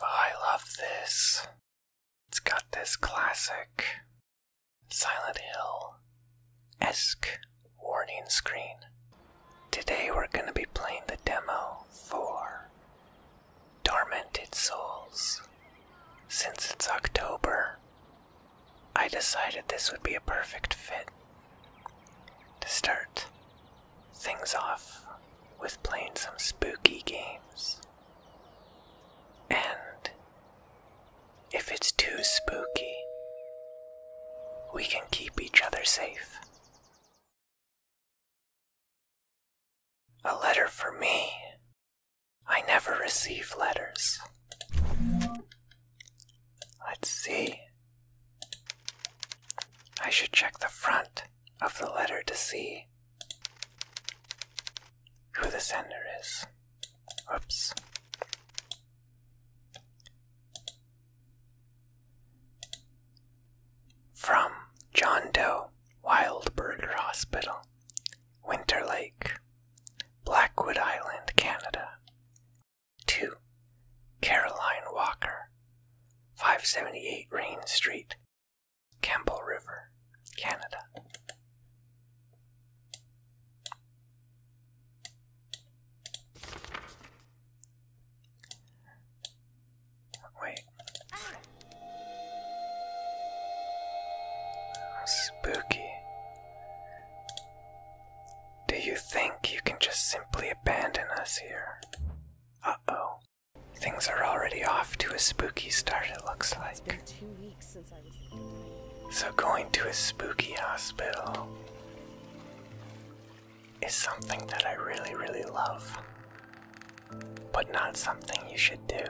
Oh, I love this. It's got this classic Silent Hill esque warning screen. Today we're going to be playing the demo for Tormented Souls. Since it's October, I decided this would be a perfect fit to start things off with playing some spooky games. And if it's too spooky, we can keep each other safe. A letter for me. I never receive letters. Let's see. I should check the front of the letter to see who the sender is. Oops. From John Doe Wildberger Hospital, Winter Lake, Blackwood Island, Canada. To Caroline Walker, 578 Rain Street, Campbell River, Canada. Wait. Spooky. Do you think you can just simply abandon us here? oh. Things are already off to a spooky start, it looks like. so, going to a spooky hospital is something that I really, really love, but not something you should do.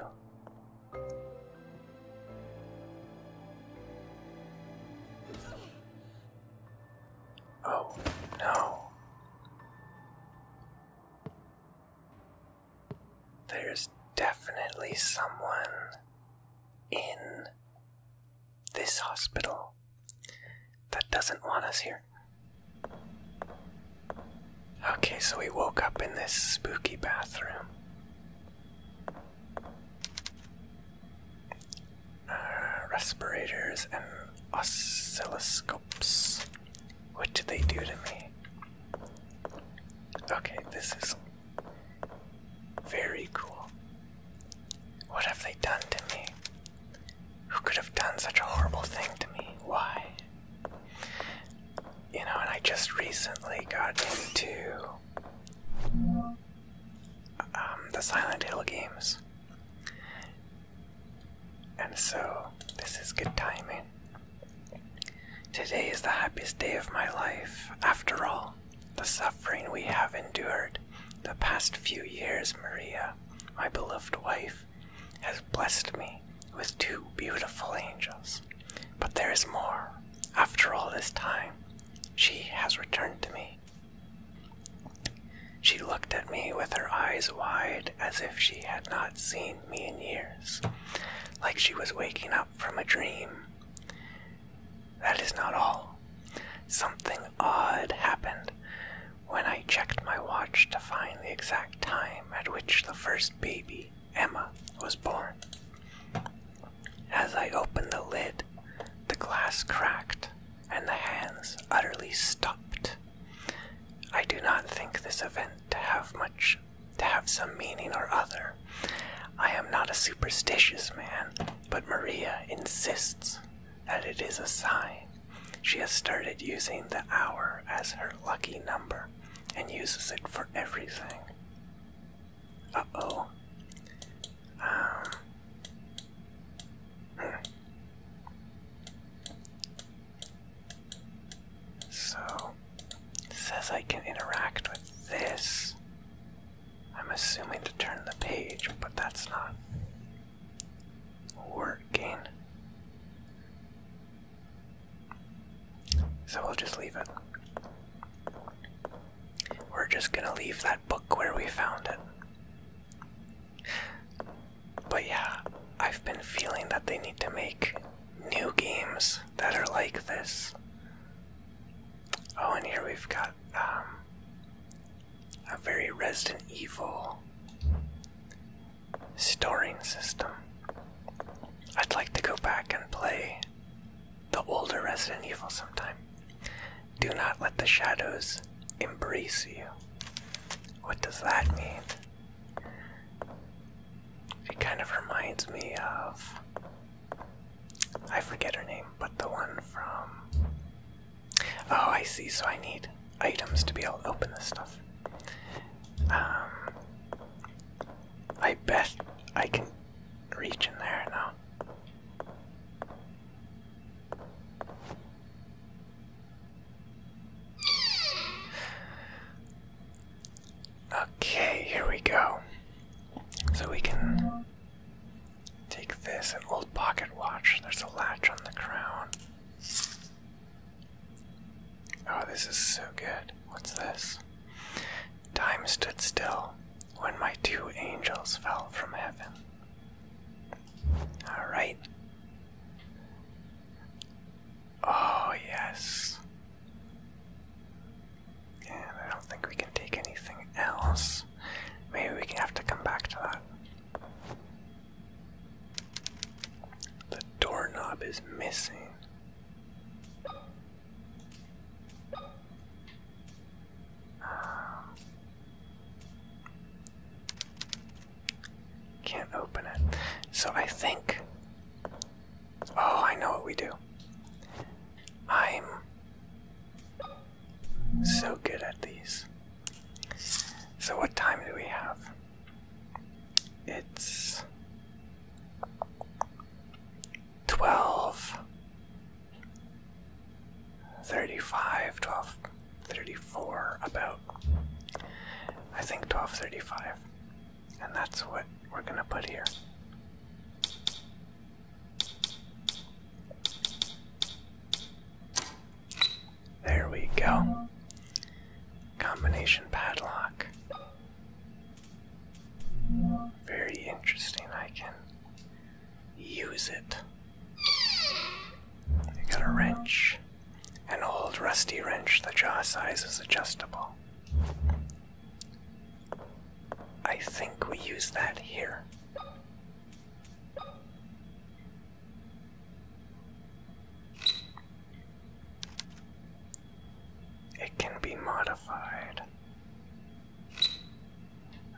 Oh, no. There's definitely someone in this hospital that doesn't want us here. Okay, so we woke up in this spooky bathroom. Uh, respirators and oscilloscopes. What do they do to me? Okay, this is very cool. What have they done to me? Who could have done such a horrible thing to me? Why? You know, and I just recently got into um, the Silent Hill games. And so, this is good timing. Today is the happiest day of my life. After all, the suffering we have endured the past few years, Maria, my beloved wife, has blessed me with two beautiful angels. But there is more. After all this time, she has returned to me she looked at me with her eyes wide as if she had not seen me in years, like she was waking up from a dream. That is not all. Something odd happened when I checked my watch to find the exact time at which the first baby, Emma, was born. As I opened the lid, the glass cracked and the hands utterly stopped. I do not think this event to have much to have some meaning or other. I am not a superstitious man, but Maria insists that it is a sign. She has started using the hour as her lucky number and uses it for everything. Uh oh. Um. Hmm. So, it says I can interact with this. I'm assuming to turn the page, but that's not working. So we'll just leave it. We're just gonna leave that book where we found it. But yeah, I've been feeling that they need to make new games that are like this. Oh, and here we've got um, a very Resident Evil storing system. I'd like to go back and play the older Resident Evil sometime. Do not let the shadows embrace you. What does that mean? It kind of reminds me of. I forget her name, but the one from. Oh, I see, so I need items to be able to open this stuff. Um. I bet I can reach in there now. Okay, here we go. So we can take this old pocket watch. There's a latch on the crown. Oh, this is so good. What's this? Time stood still when my two angels fell from heaven. All right. Oh, yes. And I don't think we can take anything else. Maybe we can have to come back to that. The doorknob is missing can't open it. So I think. Oh, I know what we do. I'm so good at these. So, what time do we have? It's 12 35, 1234, about. I think 1235. And that's what we're gonna put here. There we go. Combination padlock. Very interesting. I can use it. You got a wrench. An old rusty wrench. The jaw size is adjustable. I think we use that here. It can be modified.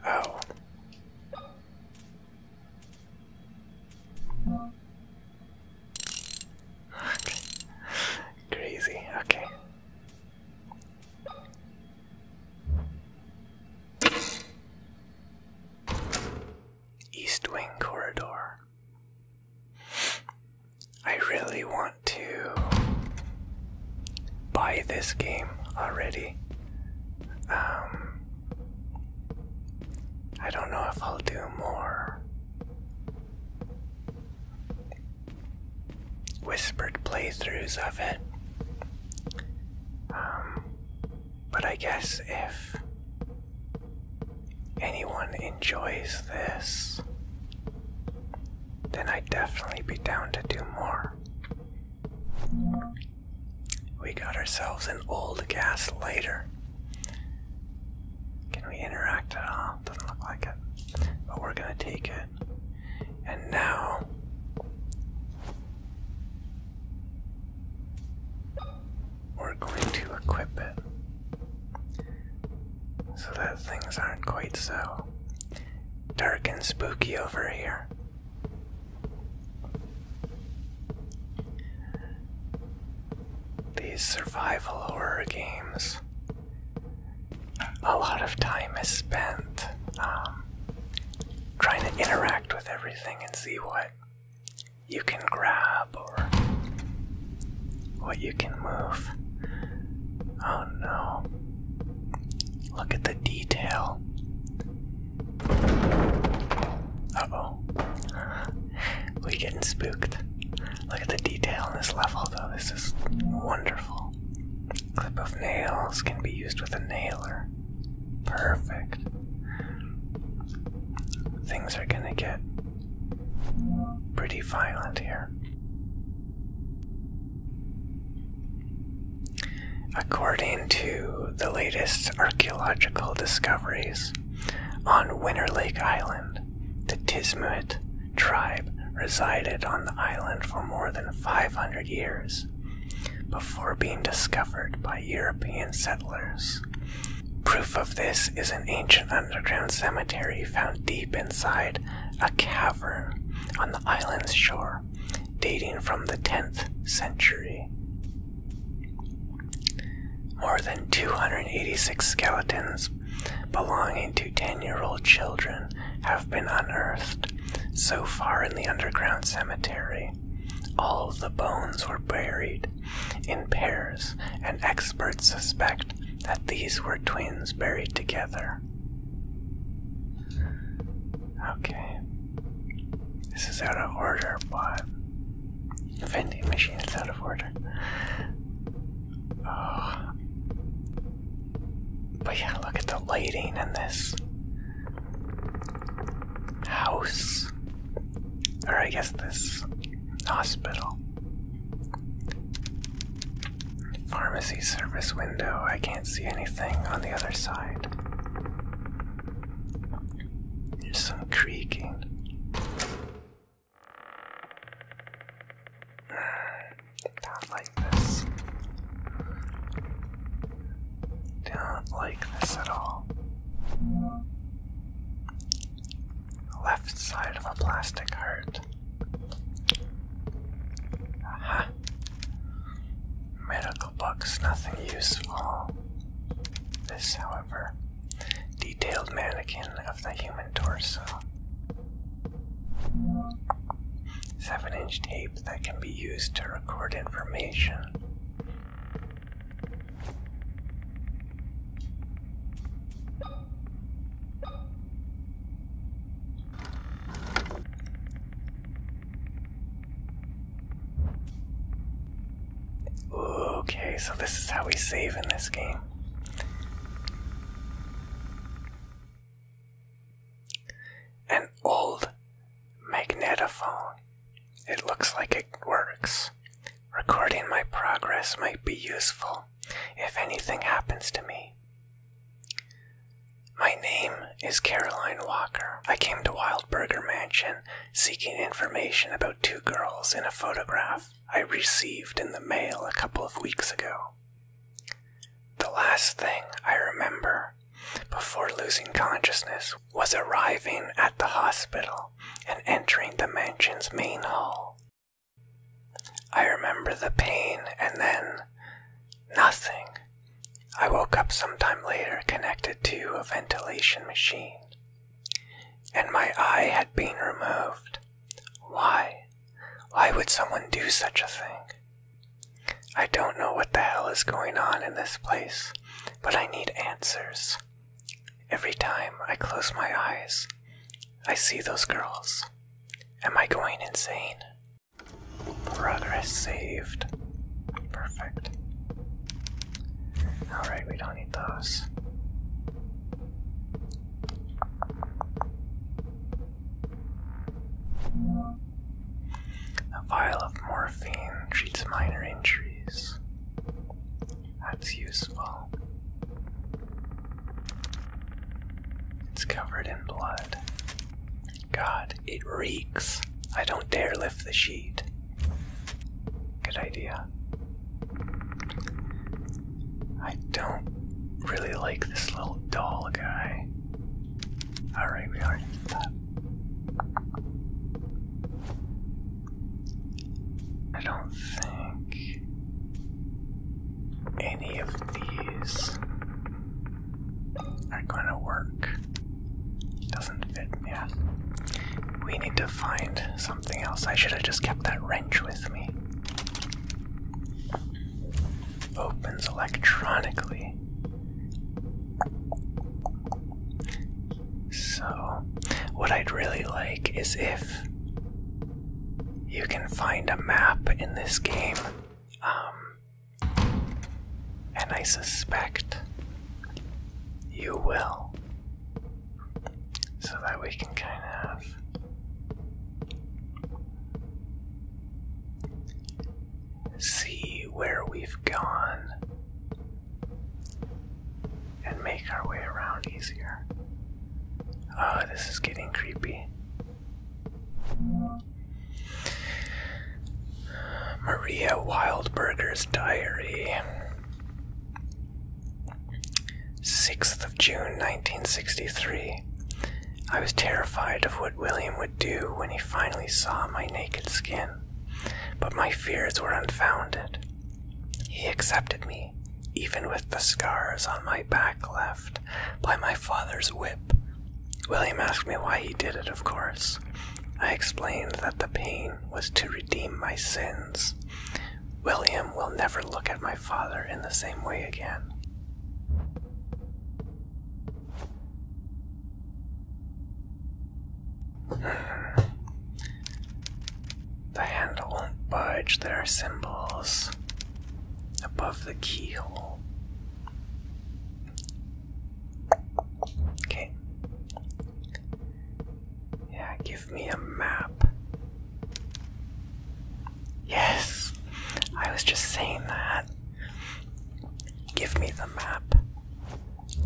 Oh. Crazy, okay. East Wing Corridor. I really want to buy this game already. Um, I don't know if I'll do more whispered playthroughs of it. Um, but I guess if anyone enjoys this, then I'd definitely be down to do more. We got ourselves an old gas lighter. Can we interact at all? Doesn't look like it. But we're gonna take it. And now. We're going to equip it so that things aren't quite so dark and spooky over here. These survival horror games, a lot of time is spent um, trying to interact with everything and see what you can grab or what you can move. Oh no. Look at the detail. Uh oh. we getting spooked. Look at the detail in this level though. This is wonderful. Clip of nails can be used with a nailer. Perfect. Things are gonna get pretty violent here. According to the latest archaeological discoveries, on Winter Lake Island, the Tismuit tribe resided on the island for more than 500 years before being discovered by European settlers. Proof of this is an ancient underground cemetery found deep inside a cavern on the island's shore dating from the 10th century. More than 286 skeletons belonging to 10 year old children have been unearthed so far in the underground cemetery. All the bones were buried in pairs, and experts suspect that these were twins buried together. Okay. This is out of order, but the vending machine is out of order. Oh. But yeah, look at the lighting in this house. Or I guess this hospital. Pharmacy service window. I can't see anything on the other side. There's some creaking. Not like this. Don't like this at all. Left side of a plastic heart. Aha. Medical books, nothing useful. This, however, detailed mannequin of the human torso. Seven inch tape that can be used to record information. Okay, so this is how we save in this game. An old magnetophone. It looks like it works. Recording my progress might be useful if anything happens to me. My name is Caroline Walker. I came to Wildberger Mansion seeking information about two girls in a photograph I received in the mail a couple of weeks ago. The last thing I remember before losing consciousness was arriving at the hospital and entering the mansion's main hall. I remember the pain and then nothing. I woke up sometime later connected to a ventilation machine, and my eye had been removed. Why? Why would someone do such a thing? I don't know what the hell is going on in this place, but I need answers. Every time I close my eyes, I see those girls. Am I going insane? Progress saved. Perfect. Alright, we don't need those. A vial of morphine treats minor injuries. That's useful. It's covered in blood. God, it reeks. I don't dare lift the sheet. Good idea. I don't really like this little doll guy. Alright, we already did I don't think any of these are gonna work. Doesn't fit, yeah. We need to find something else. I should have just kept that wrench with me. Opens electronically. So, what I'd really like is if you can find a map in this game, um, and I suspect you will, so that we can kind of see where we've gone and make our way around easier. Oh, this is getting creepy. Maria Wildberger's Diary. 6th of June 1963. I was terrified of what William would do when he finally saw my naked skin, but my fears were unfounded. He accepted me even with the scars on my back left by my father's whip. William asked me why he did it, of course. I explained that the pain was to redeem my sins. William will never look at my father in the same way again. The handle won't budge, there are symbols above the keyhole. Okay. Yeah, give me a map. Yes! I was just saying that. Give me the map.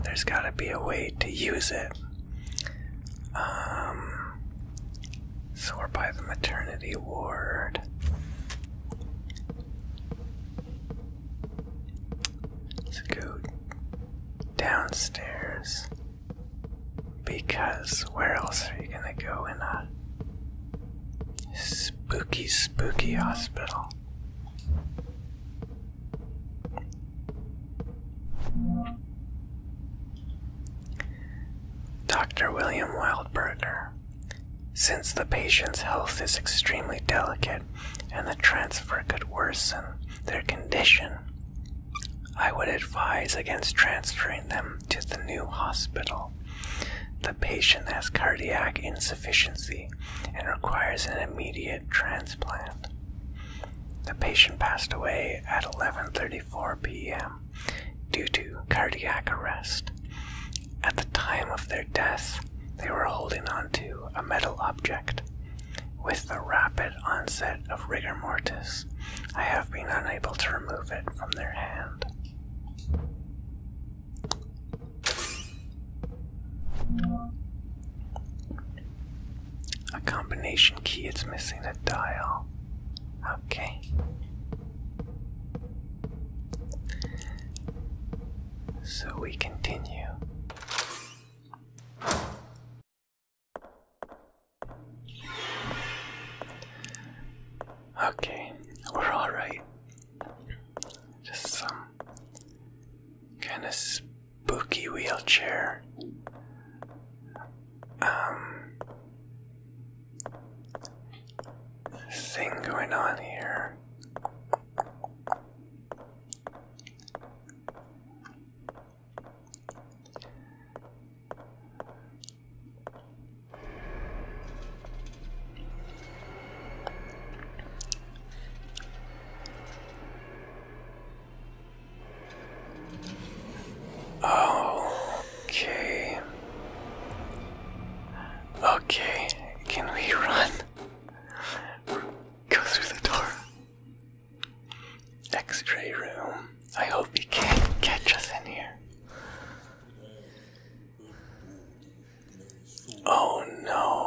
There's gotta be a way to use it. Um. So we're by the maternity ward. let downstairs. Because where else are you gonna go in a spooky, spooky hospital? Dr. William Wildberger. Since the patient's health is extremely delicate and the transfer could worsen their condition, I would advise against transferring them to the new hospital. The patient has cardiac insufficiency and requires an immediate transplant. The patient passed away at 11:34 p.m due to cardiac arrest. At the time of their death, they were holding onto a metal object. With the rapid onset of rigor mortis, I have been unable to remove it from their hand. A combination key, it's missing a dial. Okay. So we continue. Okay, we're alright. Just some kind of spooky wheelchair um, thing going on here. Oh, okay. Okay, can we run? Go through the door. X-ray room. I hope he can't catch us in here. Oh no.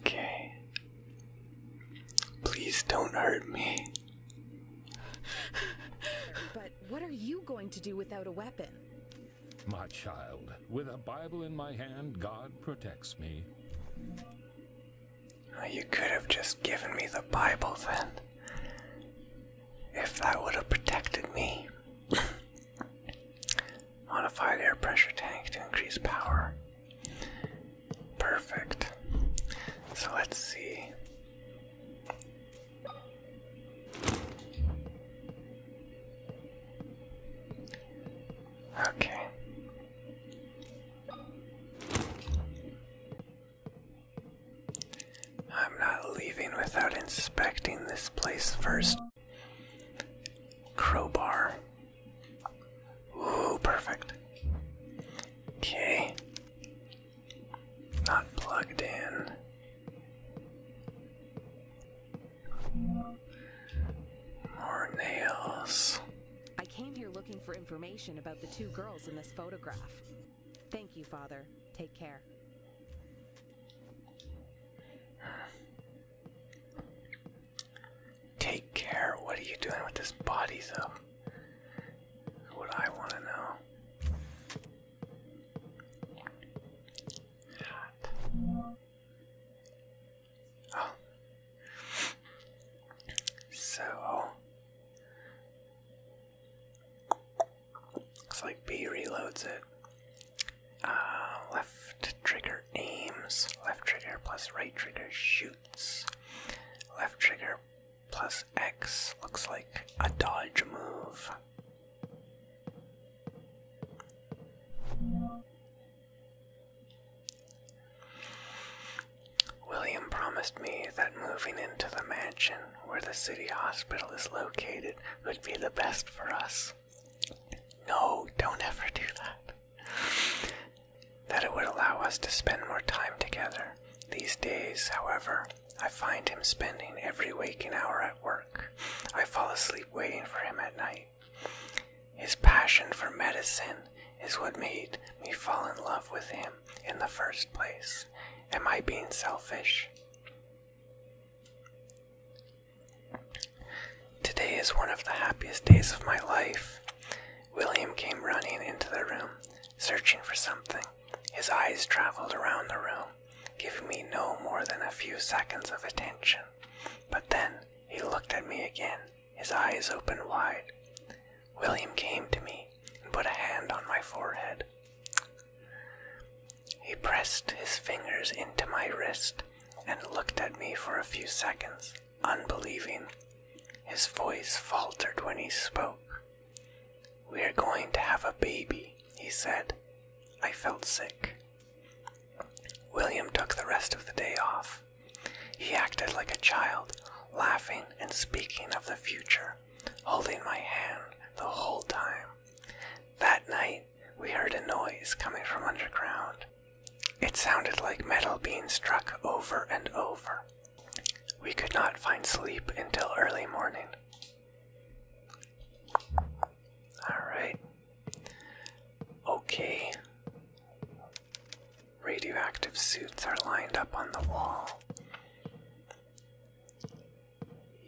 Okay. Please don't hurt me. But what are you going to do without a weapon? My child, with a Bible in my hand, God protects me. You could have just given me the Bible then. If that would have protected me. Modified air pressure tank to increase power. Perfect. So let's see. Okay. I'm not leaving without inspecting this place first. Crowbar. Ooh, perfect. Okay. Not plugged in. More nails. I came here looking for information about the two girls in this photograph. Thank you, Father. Take care. Take care? What are you doing with this body, though? what I want to know. God. Oh. So, Looks like B reloads it. Uh, left trigger aims. Left trigger plus right trigger shoots. Left trigger plus X looks like a dodge move. William promised me that moving into the mansion where the city hospital is located would be the best for us. No, don't ever do that. That it would allow us to spend more time together. These days, however, I find him spending every waking hour at work. I fall asleep waiting for him at night. His passion for medicine is what made me fall in love with him in the first place. Am I being selfish? Today is one of the happiest days of my life. William came running into the room, searching for something. His eyes traveled around the room, giving me no more than a few seconds of attention. But then he looked at me again, his eyes opened wide. William came to me and put a hand on my forehead. He pressed his fingers into my wrist and looked at me for a few seconds, unbelieving. His voice faltered when he spoke. We're going to have a baby, he said. I felt sick. William took the rest of the day off. He acted like a child, laughing and speaking of the future, holding my hand the whole time. That night, we heard a noise coming from underground. It sounded like metal being struck over and over. We could not find sleep until early morning. Alright. Okay. Radioactive suits are lined up on the wall.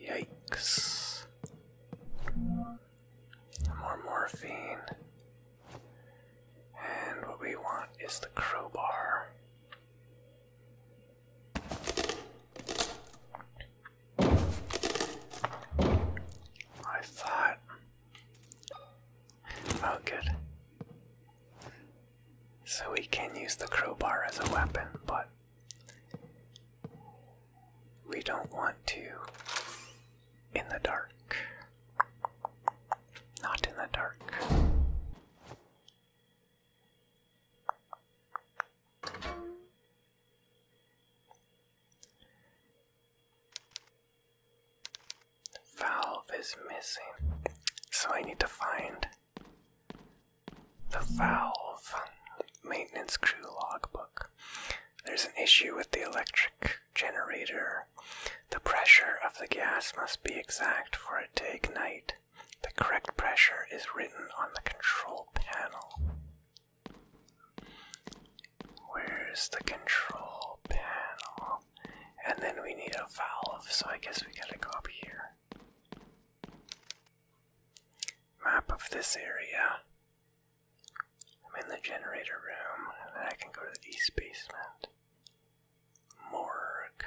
Yikes. More morphine. And what we want is the crowbar. I thought. Oh, good. So we can use the crowbar as a weapon, but we don't want to. In the dark. Not in the dark. Valve is missing, so I need to find the valve maintenance crew logbook. There's an issue with the electric generator. The pressure of the gas must be exact for it to ignite. The correct pressure is written on the control panel. Where's the control panel? And then we need a valve, so I guess we gotta go up here map of this area. I'm in the generator room, and then I can go to the east basement. Morgue.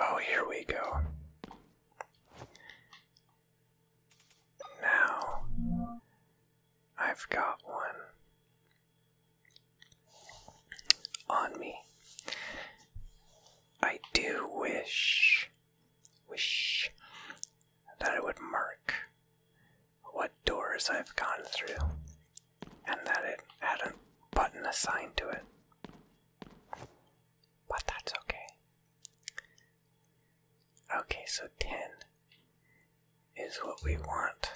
Oh, here we go. Now I've got one on me. I do wish, wish that it would mark what doors I've gone through and that it had a button assigned to it. But that's okay. Okay, so 10 is what we want.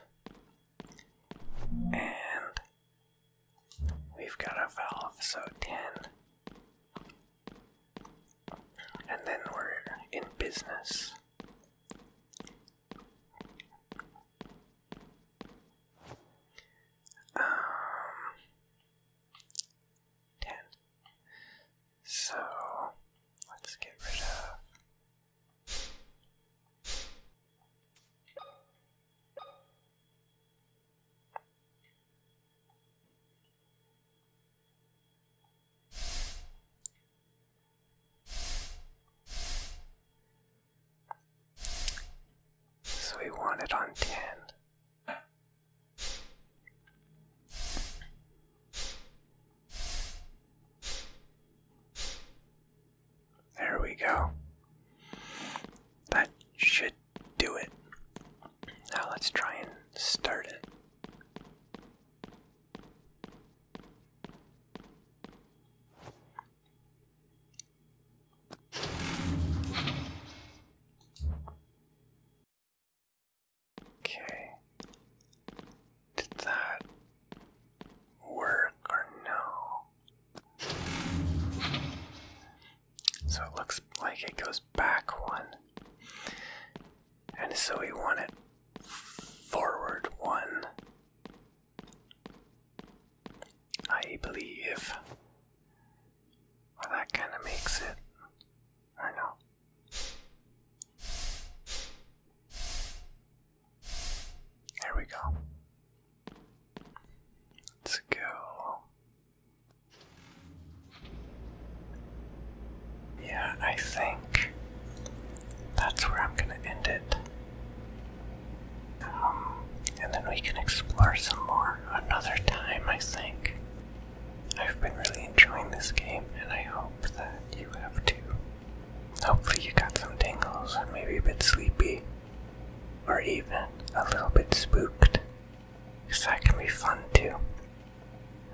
And we've got a valve, so 10. And then we're in business. Um, 10. So let's get rid of so we want it on 10. There we go. That should do it. Now let's try and start it. Okay. Did that work or no? So it looks like it goes back one. And so we want it forward one. I believe. Well, that kind of makes it. Or no. There we go. Let's go. Yeah, I think that's where I'm gonna end it. Um, and then we can explore some more another time, I think. I've been really enjoying this game, and I hope that you have too. Hopefully, you got some tingles and maybe a bit sleepy, or even a little bit spooked, because that can be fun too.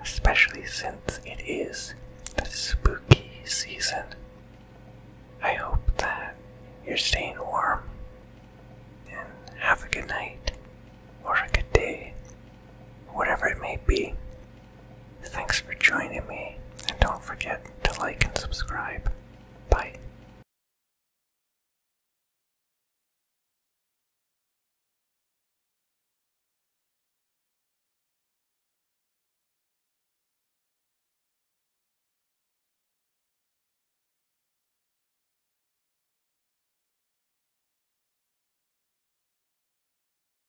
Especially since it is the spooky season. I hope that you're staying warm and have a good night or a good day, whatever it may be. Thanks for joining me, and don't forget to like and subscribe. Bye.